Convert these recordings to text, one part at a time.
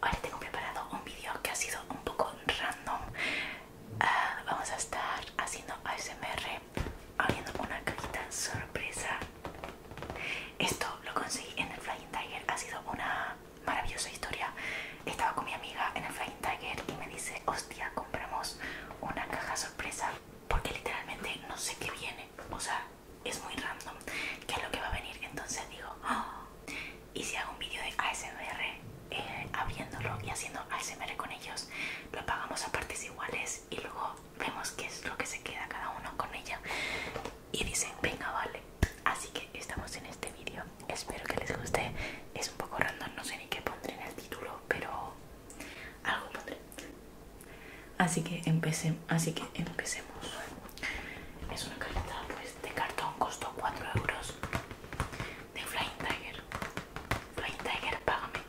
Ahora tengo preparado un vídeo que ha sido un poco random. Ah, vamos a estar haciendo ASMR abriendo una cajita sorpresa. Esto lo conseguí en el Flying Tiger. Ha sido una maravillosa historia. Estaba con mi amiga en el Flying Tiger y me dice, hostia, compramos una caja sorpresa porque literalmente no sé qué viene. O sea, es muy random qué es lo que va a venir. Entonces digo, oh, y si hago un vídeo de ASMR eh, abriéndolo y haciendo ASMR con ellos, lo apagamos a partes iguales y luego vemos qué es lo que se queda cada uno con ella. Y dicen, venga, vale. Así que estamos en este vídeo. Espero que les guste. Es un poco random, no sé ni qué pondré en el título, pero algo pondré. Así que empecemos, así que empecemos. Es una cajita pues, de cartón, costó 4 euros. De Flying Tiger. Flying Tiger, págame.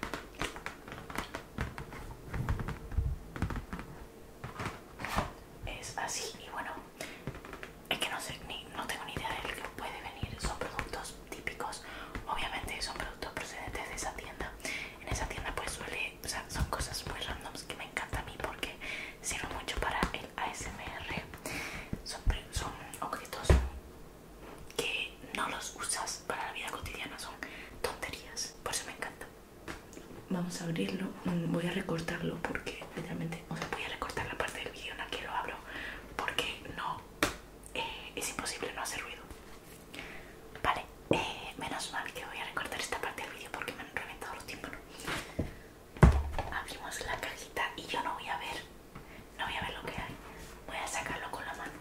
Es así y bueno, es que no sé, ni, no tengo ni idea de lo que puede venir. Son productos típicos, obviamente son productos procedentes de esa tienda. En esa tienda pues suele son cosas muy randoms que me encanta a mí porque sirven mucho para el ASMR. Son, objetos que no los usas para la vida cotidiana, son tonterías. Por eso me encanta. Vamos a abrirlo. Voy a recortarlo porque literalmente, voy a recortar la parte del vídeo en la que lo abro porque no eh, es imposible no hacer ruido. Vale, eh, menos mal que voy a recortar esta parte del vídeo porque me han reventado los tiempos Abrimos la cajita y yo no voy a ver, no voy a ver lo que hay. Voy a sacarlo con la mano.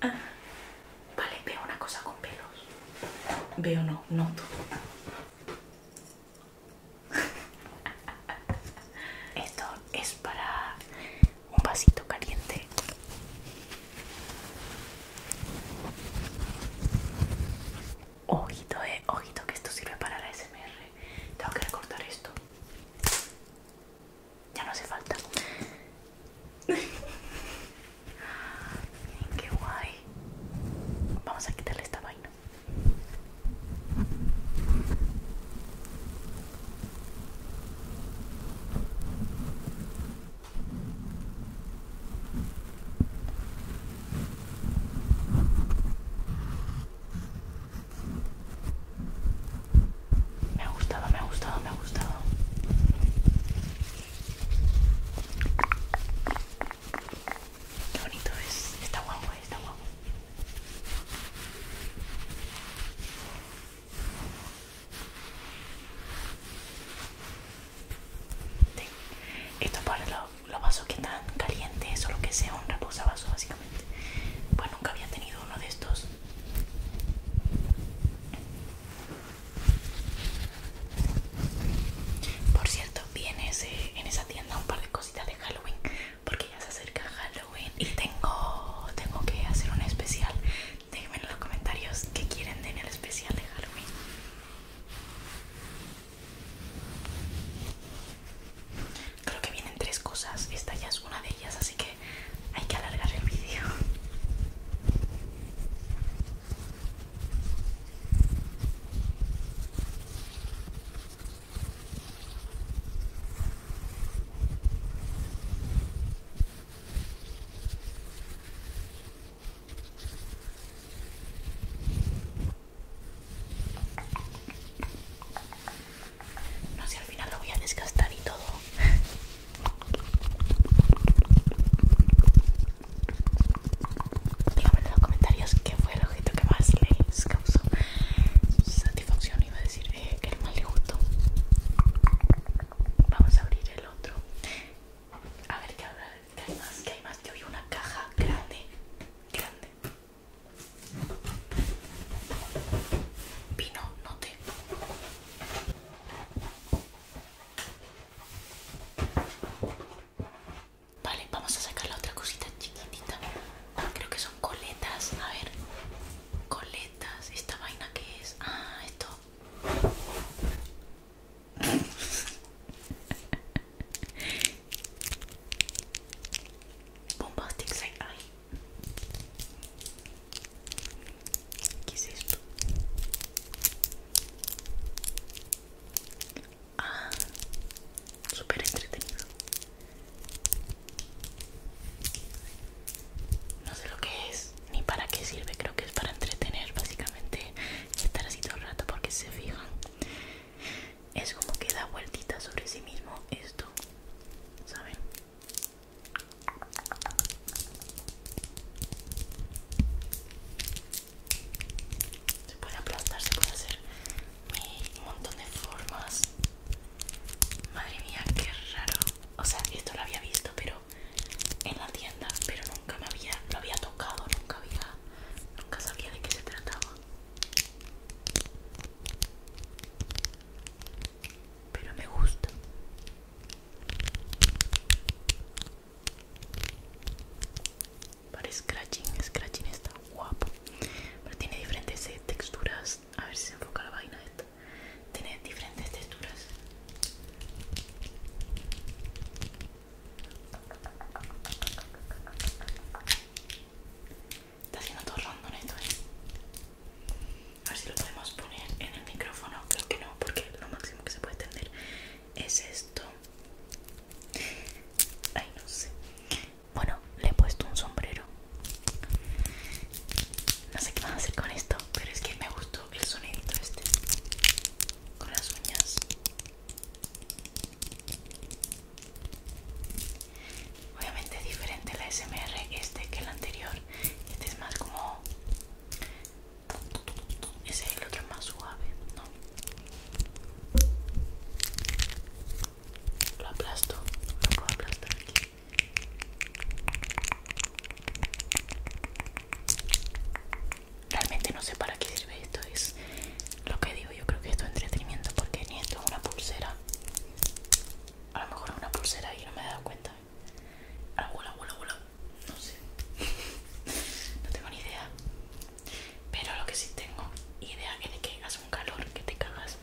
Ah, vale, veo una cosa con pelos. Veo no, noto. Esto es para un vasito caliente. Ojito, eh, ojito que esto sirve para la SMR. Tengo que recortar esto. Ya no hace falta. qué guay. Vamos a quitarle esta vaina. Me ha gustado, me ha gustado, me ha gustado. Qué bonito es, está guapo, eh, está guapo. Esto para los, vasos que están calientes o lo que sea, un reposavasos básicamente. Pues nunca había tenido uno de estos. Por cierto, viene en esa tienda un par de cositas de Halloween porque ya se acerca Halloween y tengo, tengo que hacer un especial. Déjenme en los comentarios qué quieren de mi el especial de Halloween. Creo que vienen tres cosas, esta ya es una de ellas, así que hay que alargar el vídeo. No sé, al final lo voy a desgastar y todo. Díganme en los comentarios qué fue lo que más les causó satisfacción iba a decir el eh, mal vamos a abrir el otro a ver qué habrá que hay más que hay más yo vi una caja grande grande vino no te Vale, vamos a sacar la otra cosita chiquitita creo que son coletas, a ver, coletas, esta vaina que es, ah, esto. ¿Qué es esto? Ah, súper entretenido. No sé lo que es ni para qué sirve, creo que es para entretener básicamente estar así todo el rato porque se fijan es como que da vueltita sobre sí mismo esto, ¿saben? Se puede aplastar, se puede hacer un montón de formas. Madre mía, qué raro. O sea, esto lo había visto, pero en la tienda, pero nunca me había, lo había tocado, nunca había, nunca sabía de qué se trataba. Pero me gusta. Para scratching, scratching está guapo. Pero tiene diferentes eh, texturas pues, a ver si se enfoca la vaina esta. Tiene diferentes texturas. Está haciendo todo en esto, ¿eh? A ver si lo podemos poner en el micrófono. Creo que no, porque lo máximo que se puede extender es esto. Ay, no sé. Bueno, le he puesto un sombrero. No sé qué van a hacer con esto, pero es que me gustó el sonidito este. Con las uñas. Obviamente es diferente la SMR este que el anterior. Este es más como... Ese es el otro más suave, ¿no? Lo aplasto, puedo aquí. Realmente no sé para qué sirve esto, es lo que digo, yo creo que esto es entretenimiento porque ni esto es una pulsera. A lo mejor es una pulsera y no me he dado cuenta. Ah, no sé. no tengo ni idea. Pero lo que sí tengo idea es de que hace un calor que te cagas.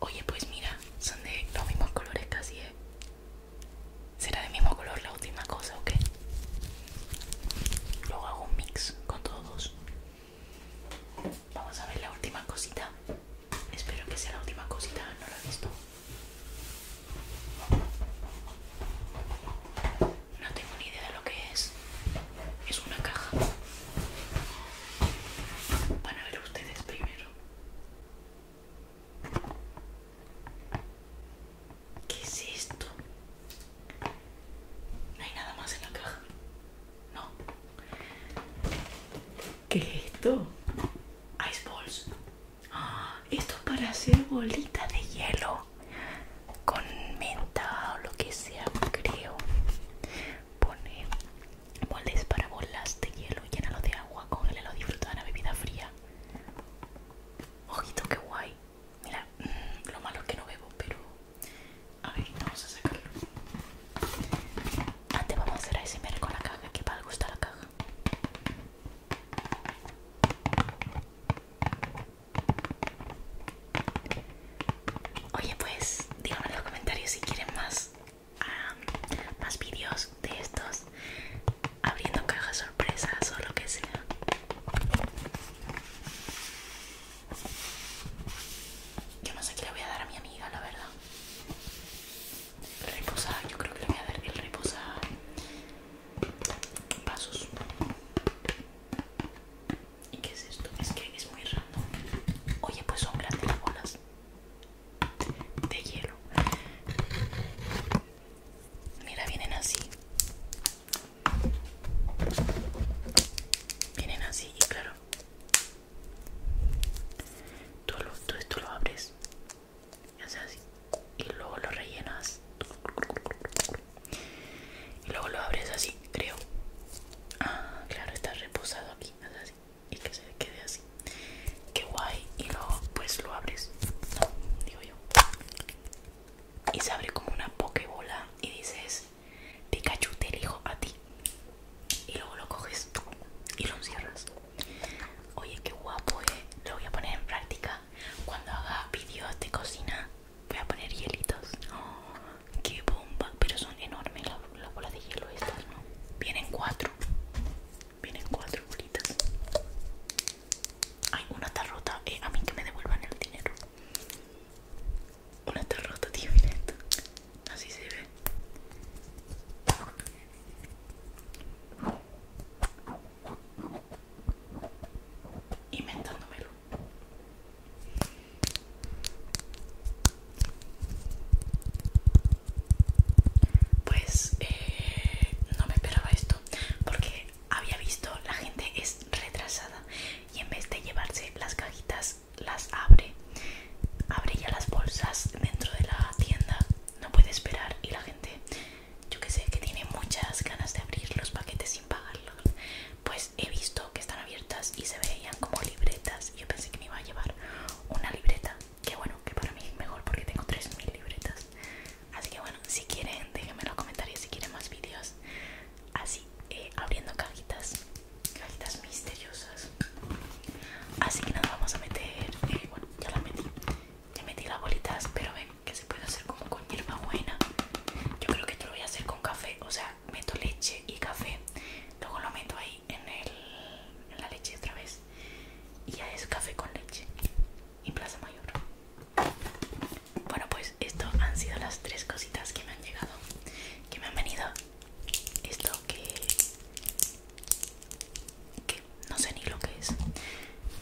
Oye, pues mira, son de los mismos colores casi, ¿eh? Será de mismo color la última cosa, o qué? Luego hago un mix con todos. Vamos a ver la última cosita. Espero que sea la última cosita, no la he visto. No tengo ni idea de lo que es. Es una caja. Van a ver ustedes primero. ¿Qué es esto? No hay nada más en la caja. No. ¿Qué es esto? Ice balls. Ah, esto es para hacer bolitas de hielo con menta o lo que sea, creo. Pone Boles para bolas de hielo y llénalo de agua, con el hielo disfruta de una bebida fría. Ojito, qué guay. Mira, mm, lo malo es que no bebo, pero... A ver, vamos a sacarlo. Antes vamos a hacer ASMR con la caja, que para gusta la caja. Oye, pues díganme en los comentarios si quieren más Ah, más vídeos de estos abriendo cajas sorpresas o lo que sea yo no sé qué le voy a dar a mi amiga la verdad reposada, yo creo que le voy a dar el reposada Vasos ¿Y qué es esto? Es que es muy raro Oye, pues son grandes las bolas de hielo. Mira, vienen así. Vienen así y claro. Tú, esto lo abres. Y así. Y luego lo rellenas. Y luego lo abres así, creo. Ah, claro, está reposado aquí. así y que se quede así. Qué guay. Y luego pues lo abres. digo yo. Y se abre como una pokebola y dices, Pikachu te elijo a ti. Y luego lo coges tú y lo encierras. Oye, qué guapo, eh. Lo voy a poner en práctica. Cuando haga vídeos de cocina, voy a poner hielitos. ¡Qué bomba! Pero son enormes las, bolas de hielo estas, ¿no? Vienen cuatro. Vienen cuatro bolitas. Ay, una está rota. Eh, a mí que me devuelvan el dinero. Una está rota, tío. Así se ve. Inventándomelo. Pues eh, no me esperaba esto porque había visto la gente es retrasada y en vez de llevarse las cajitas las abre, abre ya las bolsas dentro de la tienda, no puede esperar y la gente, yo que sé, que tiene muchas ganas de abrir los paquetes sin pagarlos, pues he visto que están abiertas y se veían como libretas yo pensé que me iba a llevar una libreta que bueno que para mí es mejor porque tengo 3000 libretas así que bueno si quieren déjenme en los comentarios si quieren más vídeos así eh, abriendo cajitas cajitas misteriosas así que nos vamos a meter eh, bueno ya la metí ya metí las bolitas pero ven que se puede hacer como con hierba buena yo creo que esto lo voy a hacer con café o sea meto leche y café luego lo meto ahí en, la leche otra vez y ya es café con leche y plaza mayor bueno pues esto han sido las tres cositas que me han llegado que me han venido esto que que no sé ni lo que es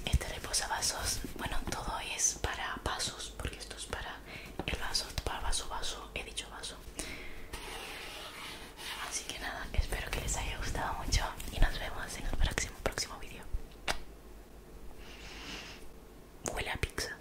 este reposavasos bueno todo es para vasos porque esto es para el vaso para vaso vaso he dicho vaso Así que nada, espero que les haya gustado mucho y nos vemos en el próximo, próximo vídeo. Huele a pizza.